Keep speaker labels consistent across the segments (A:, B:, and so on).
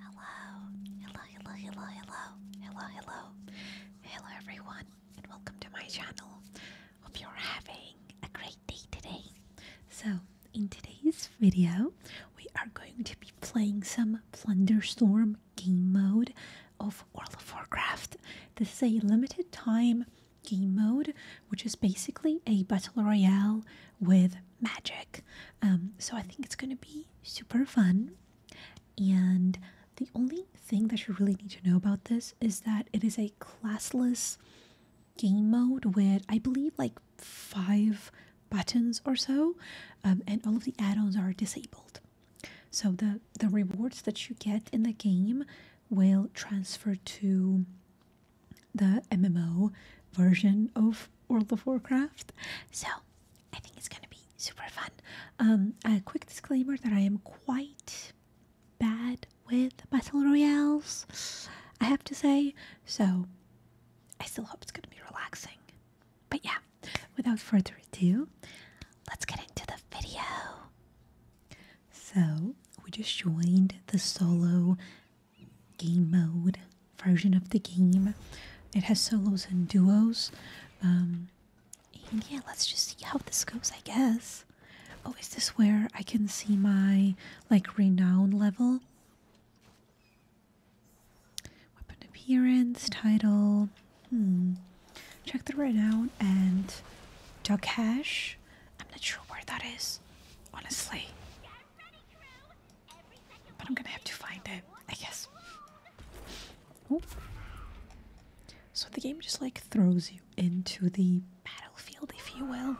A: Hello, hello, hello, hello, hello, hello, hello, hello everyone, and welcome to my channel. Hope you're having a great day today. So, in today's video, we are going to be playing some Plunderstorm game mode of World of Warcraft. This is a limited time game mode, which is basically a battle royale with magic. Um, so I think it's going to be super fun. And the only thing that you really need to know about this is that it is a classless game mode with, I believe, like five buttons or so, um, and all of the add ons are disabled. So the, the rewards that you get in the game will transfer to the MMO version of World of Warcraft. So I think it's gonna be super fun. Um, a quick disclaimer that I am quite bad with battle royales, I have to say. So I still hope it's gonna be relaxing. But yeah, without further ado, let's get into the video. So we just joined the solo game mode version of the game. It has solos and duos. Um, and yeah, let's just see how this goes, I guess. Oh, is this where I can see my like renown level? Weapon appearance, title. Hmm. Check the renown and duck cash. I'm not sure where that is, honestly. But I'm gonna have to find it, I guess. So the game just like throws you into the battlefield, if you will,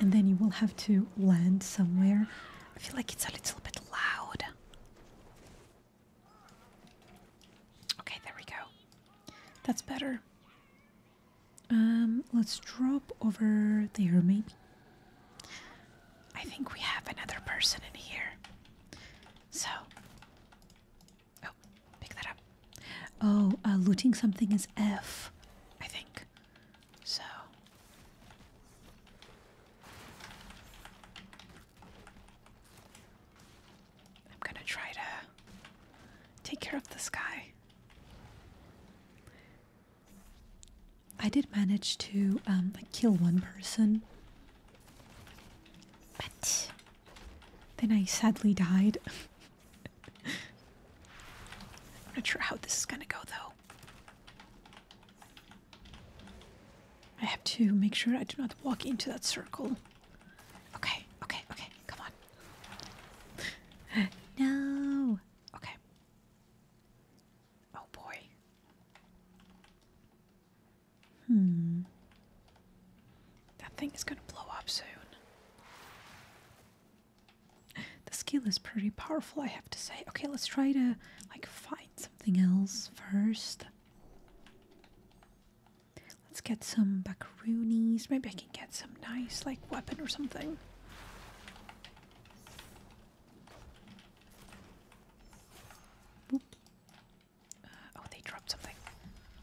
A: and then you will have to land somewhere. I feel like it's a little bit loud. Okay, there we go. That's better. Um, let's drop over there, maybe. I think we have another person in here. So. Oh, pick that up. Oh, uh, looting something is F, I think. So. I'm gonna try to take care of this guy. I did manage to um, kill one person, but then I sadly died. I'm not sure how this is gonna go though. I have to make sure I do not walk into that circle. Okay, okay, okay, come on. no! Okay. Oh boy. Hmm. That thing is going to blow up soon. The skill is pretty powerful, I have to say. Okay, let's try to like find something else first. Let's get some macaroonies. Maybe I can get some nice like weapon or something. Uh, oh, they dropped something.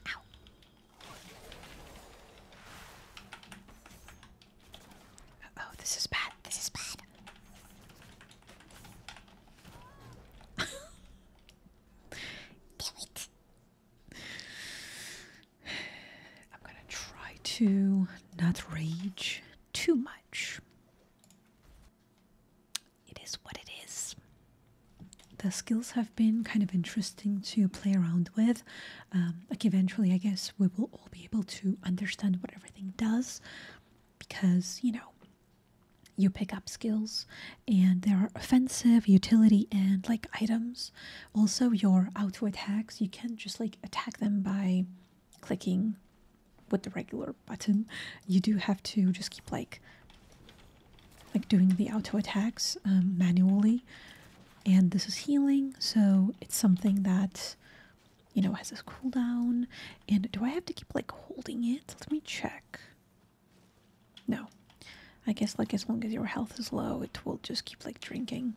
A: Uh, oh, this is bad. This is bad. Damn it. I'm gonna try to not rage too much. It is what it is. The skills have been kind of interesting to play around with. Um, like eventually, I guess we will all be able to understand what everything does because, you know, you pick up skills and there are offensive, utility, and like items. Also, your auto attacks you can just like attack them by clicking with the regular button you do have to just keep like like doing the auto attacks um, manually and this is healing so it's something that you know has this cooldown and do i have to keep like holding it let me check no i guess like as long as your health is low it will just keep like drinking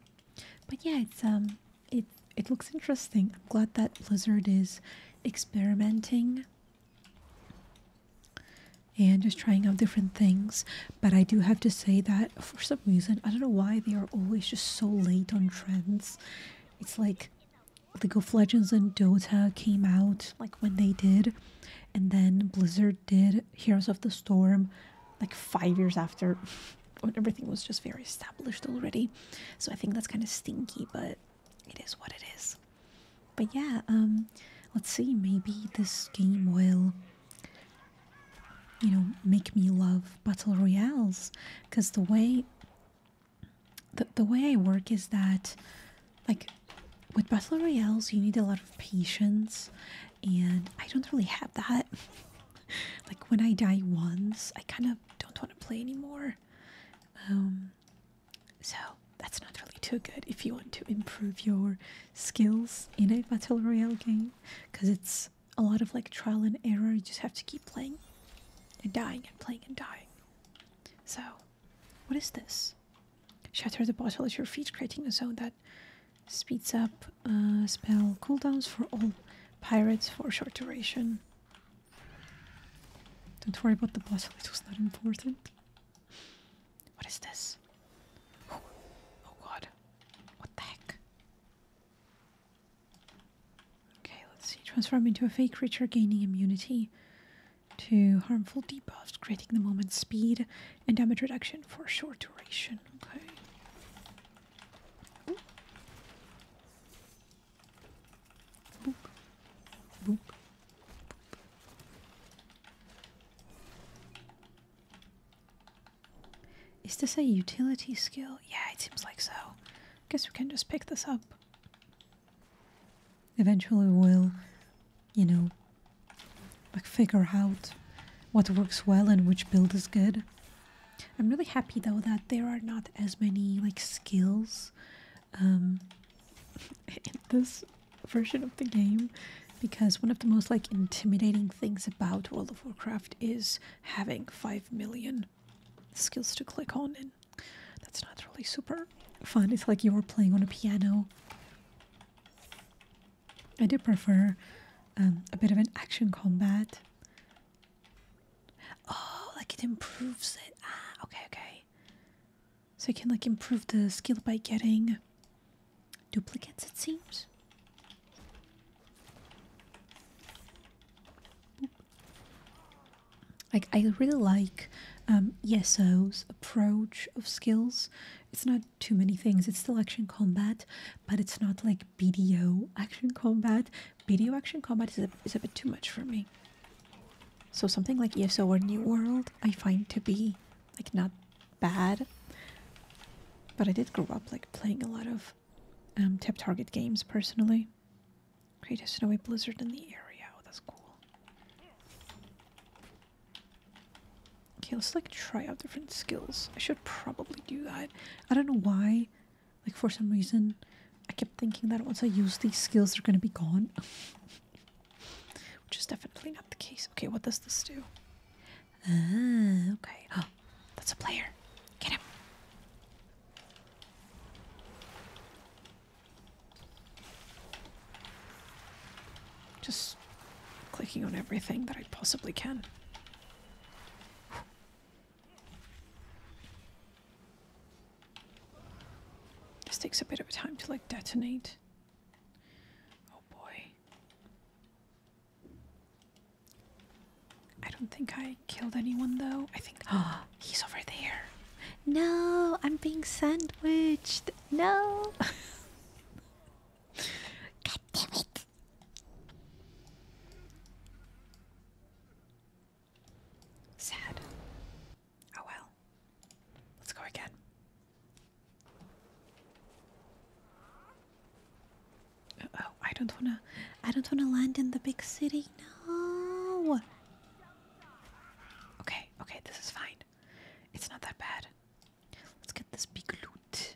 A: but yeah it's um it it looks interesting. I'm glad that Blizzard is experimenting and just trying out different things. But I do have to say that for some reason, I don't know why they are always just so late on trends. It's like League of Legends and Dota came out like when they did, and then Blizzard did Heroes of the Storm like five years after when everything was just very established already. So I think that's kind of stinky, but it is what it is. But yeah, um, let's see, maybe this game will, you know, make me love battle royales. Because the way, the, the way I work is that, like, with battle royales, you need a lot of patience, and I don't really have that. like, when I die once, I kind of don't want to play anymore. Um, so that's not really too good if you want to improve your skills in a battle royale game because it's a lot of like trial and error. You just have to keep playing and dying and playing and dying. So, what is this? Shatter the bottle at your feet, creating a zone that speeds up uh, spell cooldowns for all pirates for a short duration. Don't worry about the puzzle, it was not important. What is this? Oh, god. What the heck? Okay, let's see. Transform into a fake creature, gaining immunity to harmful debuffs, creating the moment speed and damage reduction for short duration. Okay. Is this a utility skill? Yeah, it seems like so. Guess we can just pick this up. Eventually we'll, you know, like figure out what works well and which build is good. I'm really happy though that there are not as many like skills um, in this version of the game because one of the most like intimidating things about World of Warcraft is having 5 million skills to click on and that's not really super fun. It's like you're playing on a piano. I do prefer um, a bit of an action combat Oh, like it improves it. Ah, okay, okay. So you can like improve the skill by getting duplicates, it seems. Boop. Like I really like Yeso's um, approach of skills. It's not too many things. It's still action combat, but it's not like BDO action combat. Video action combat is a, is a bit too much for me. So something like ESO or New World I find to be like not bad. But I did grow up like playing a lot of um, tap target games personally. Create a snowy blizzard in the area. Oh, that's cool. Okay, let's like try out different skills. I should probably do that. I don't know why like for some reason, I kept thinking that once I use these skills, they're gonna be gone, which is definitely not the case. Okay, what does this do? Ah, okay. Oh, that's a player. Get him. Just clicking on everything that I possibly can. This takes a bit of time to like detonate. Oh boy. I don't think I killed anyone though. I think ah, oh, he's over there. No, I'm being sandwiched. No. God damn it. Sad. Oh well. Let's go again. oh, I don't wanna I don't wanna land in the big city. No. Okay, okay, this is fine. It's not that bad. Let's get this big loot.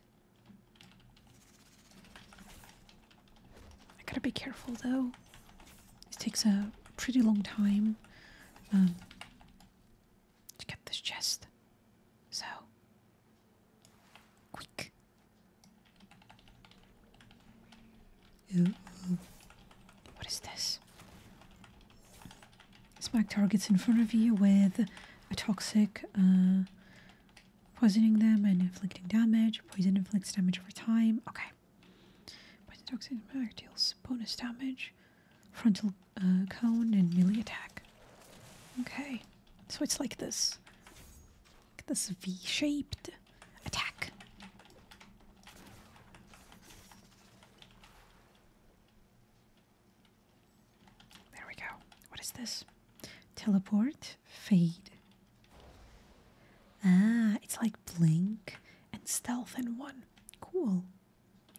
A: I gotta be careful though. This takes a pretty long time um, to get this chest. So, quick. What is this? Smack targets in front of you with a toxic, uh, poisoning them and inflicting damage. Poison inflicts damage over time. Okay. Poison attack deals bonus damage, frontal uh, cone, and melee attack. Okay, so it's like this, this V-shaped attack. There we go. What is this? Teleport, fade, Ah, it's like blink and stealth in one. Cool.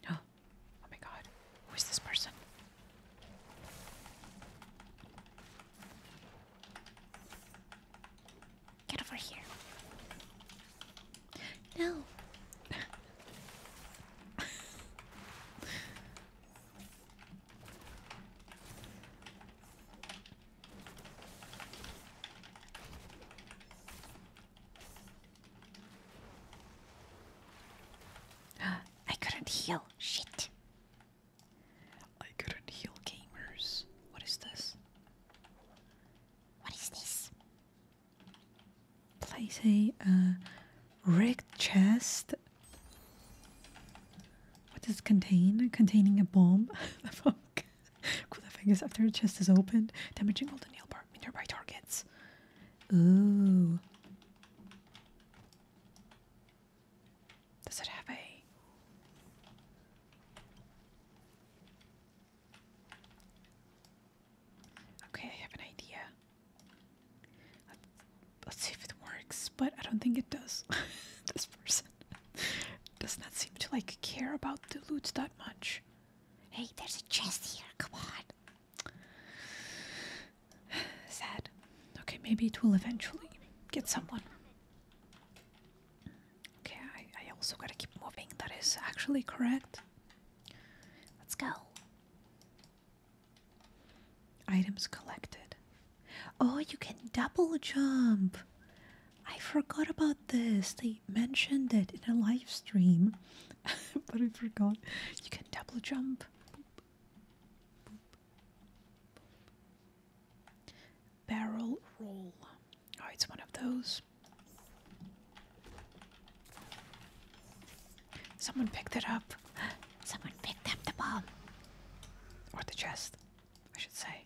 A: Oh, oh my god. Who is this person? Get over here. No. I couldn't heal. Shit. I couldn't heal gamers. What is this? What is this? Place a wrecked uh, chest. What does it contain? Containing a bomb. the fuck? cool the fingers after the chest is opened, damaging all the nail bar nearby targets. Ooh. Does it have a Okay, I have an idea. Let's, see if it works, but I don't think it does. this person. Does not seem to like care about the loot that much. Hey, there's a chest here. Come on. Sad. Okay, maybe it will eventually get someone. Okay, I, I also gotta keep moving. That is actually correct. Let's go. Items collected. Oh, you can double jump. I forgot about this. They mentioned it in a live stream, but I forgot. You can double jump. Barrel roll. Oh, it's one of those. Someone picked it up. Someone picked up the bomb. Or the chest, I should say.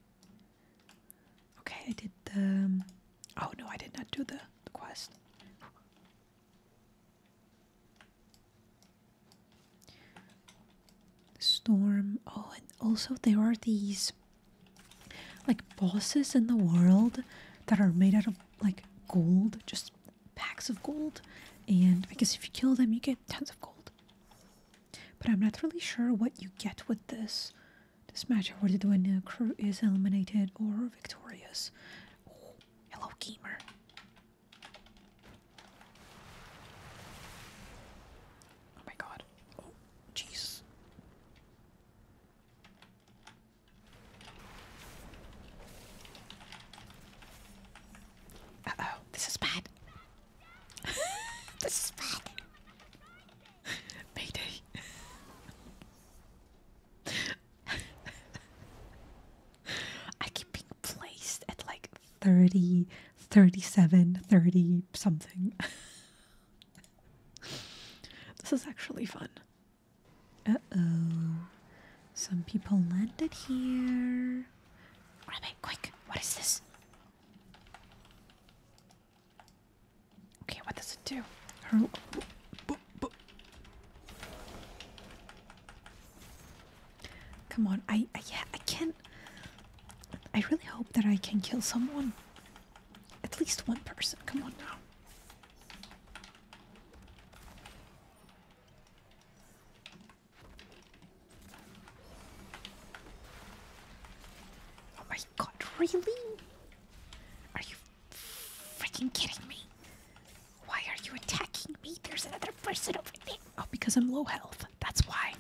A: Okay, I did the. Um, oh no, I did not do the, the quest. The storm. Oh, and also there are these like bosses in the world that are made out of like gold, just packs of gold. And I guess if you kill them, you get tons of gold. But I'm not really sure what you get with this. This match awarded when a crew is eliminated or victorious. hello, gamer. Oh my god. Oh, jeez. Uh oh, this is bad. this is bad. Mayday. I keep being placed at like 30, 37, 30 something. this is actually fun. Uh oh. Some people landed here. Grab it, quick. What is this? Okay, what does it do? Come on, I, yeah, I can't. I really hope that I can kill someone. At least one person. Come on now. Oh my god, really? Are you freaking kidding me? Why are you attacking me? There's another person over me. Oh, because I'm low health. That's why.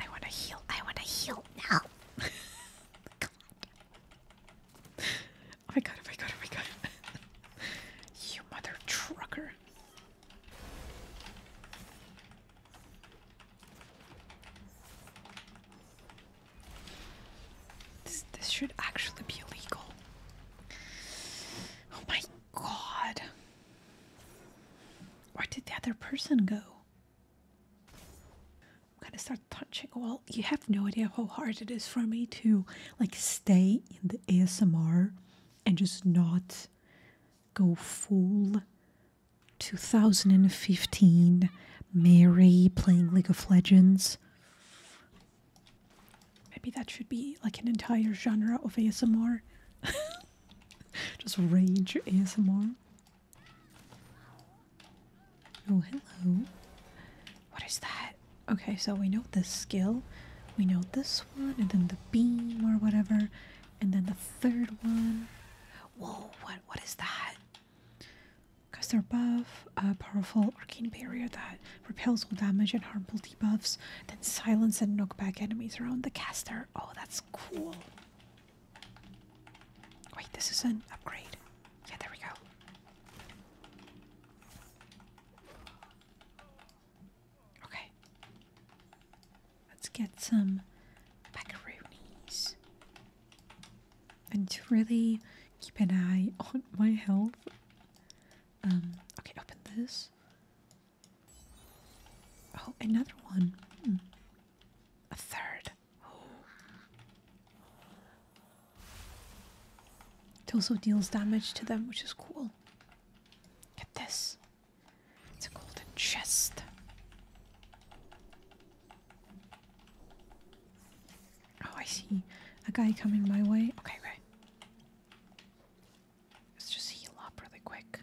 A: I want to heal. I want to heal now. Oh my god, oh my god, oh my god. you mother trucker. This, this should actually be illegal. Oh my god. Where did the other person go? I'm gonna start touching. Well, you have no idea how hard it is for me to like stay in the ASMR and just not go full 2015 Mary playing League of Legends. Maybe that should be like an entire genre of ASMR. just rage your ASMR. Oh, hello. What is that? Okay, so we know this skill, we know this one, and then the beam or whatever, and then the third one. Whoa, what what is that? Because they're buff, a powerful arcane barrier that repels all damage and harmful debuffs, then silence and knockback enemies around the caster. Oh, that's cool. Wait, this is an upgrade. Yeah, there we go. Okay. Let's get some macaronis. And to really keep an eye on my health. Um, okay, open this. Oh, another one. Hmm. A third. It also deals damage to them, which is cool. Get this. It's a golden chest. Oh, I see a guy coming my way. Okay, right. Let's just heal up really quick.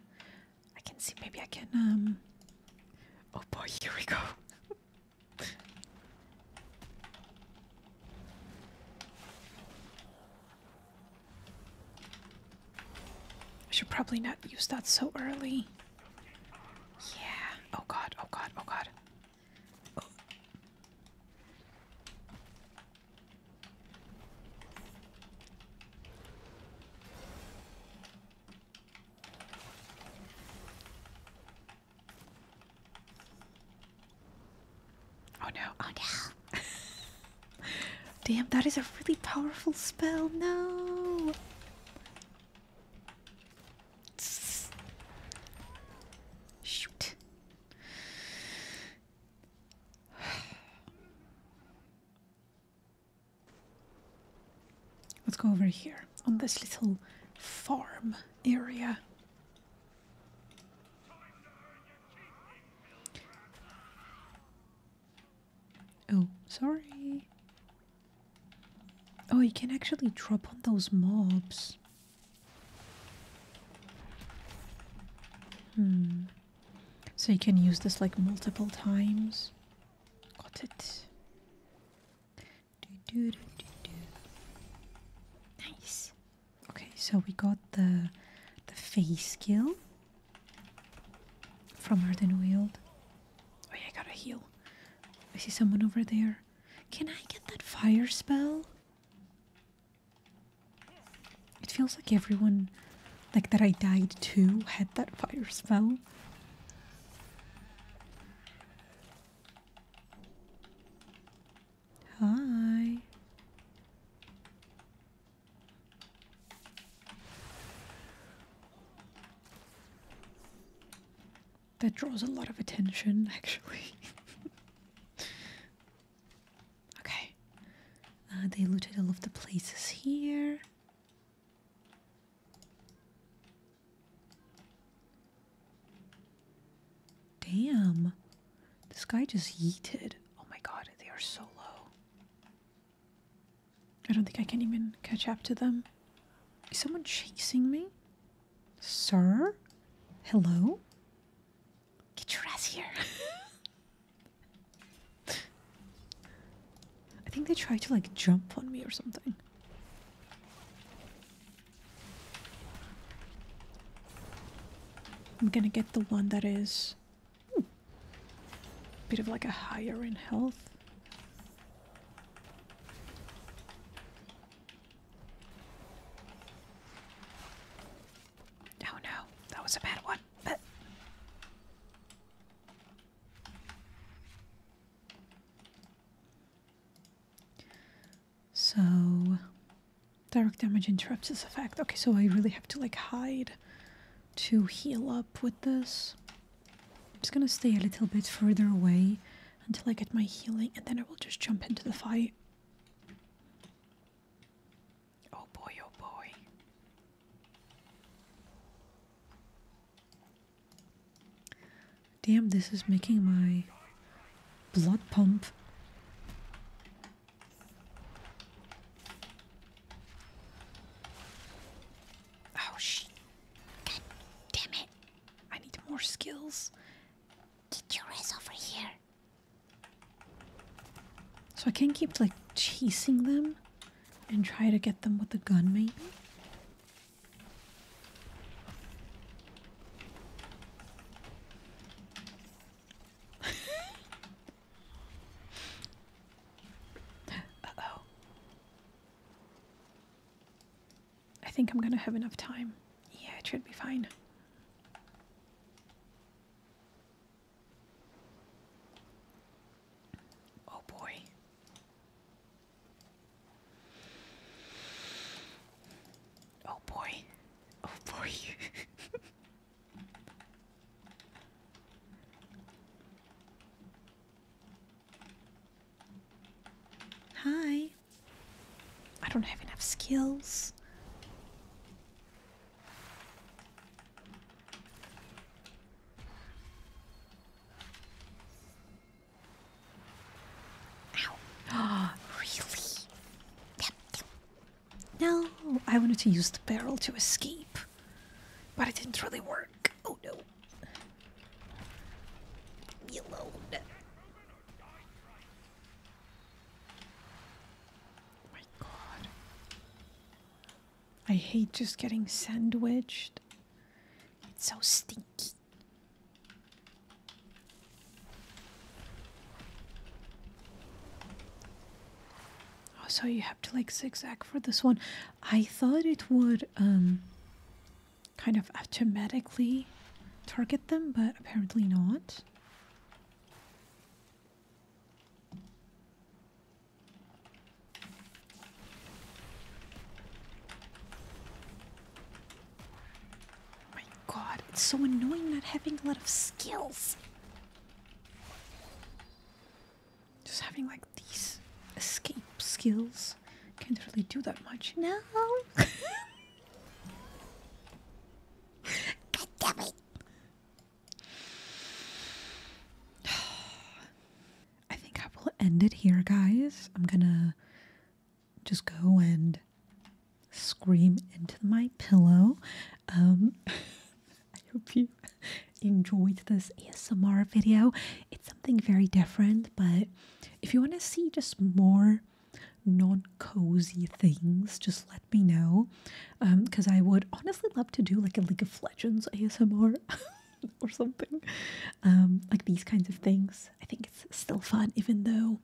A: I can see, maybe I can, um... Oh boy, here we go. I should probably not use that so early. Yeah. Oh god, oh god, oh god. Oh no, oh no. Damn, that is a really powerful spell. No. Shoot. Let's go over here on this little farm area. Oh, sorry. Oh, you can actually drop on those mobs. Hmm. So you can use this like multiple times. Got it. Nice. Okay, so we got the the face skill from Arden Wield. Oh yeah, I got a heal. I see someone over there. Can I get that fire spell? It feels like everyone like that I died too, had that fire spell. Hi. That draws a lot of attention, actually. okay. Uh, they looted all of the places here. Damn. This guy just yeeted. Oh my god, they are so low. I don't think I can even catch up to them. Is someone chasing me? Sir? Hello? Get your ass here. I think they tried to like jump on me or something. I'm gonna get the one that is a bit of like a higher in health. Oh no, that was a bad one. So Direct damage interrupts this effect. Okay, so I really have to like hide to heal up with this. I'm just gonna stay a little bit further away until I get my healing and then I will just jump into the fight. Oh boy, oh boy. Damn, this is making my blood pump. Oh, shit. damn it. I need more skills. Get your ass over here. So I can't keep, like, chasing them and try to get them with the gun, maybe? Uh-oh. I think I'm gonna have enough time. Yeah, it should be fine. Oh boy. Oh boy. Oh boy. Hi. I don't have enough skills. Ow. Oh, really? No, I wanted to use the barrel to escape, but it didn't really work. Oh no. Leave me my god. I hate just getting sandwiched. It's so stinky. Oh, so you have to like zigzag for this one. I thought it would um kind of automatically target them, but apparently not. my god, it's so annoying not having a lot of skills. Just having like these escape skills can't really do that much now. God damn it! I think I will end it here, guys. I'm gonna just go and scream into my pillow. Um, I hope you enjoyed this ASMR video. It's something very different, but if you want to see just more non cozy things, just let me know. Because um, I would honestly love to do like a League of Legends ASMR. or something. Um, like these kinds of things. I think it's still fun, even though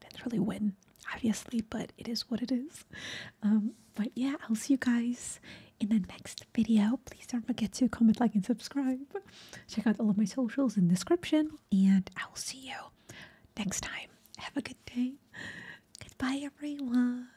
A: I didn't really win, obviously, but it is what it is. Um, but yeah, I'll see you guys in the next video. Please don't forget to comment, like, and subscribe. Check out all of my socials in the description, and I will see you next time. Have a good day. Goodbye, everyone.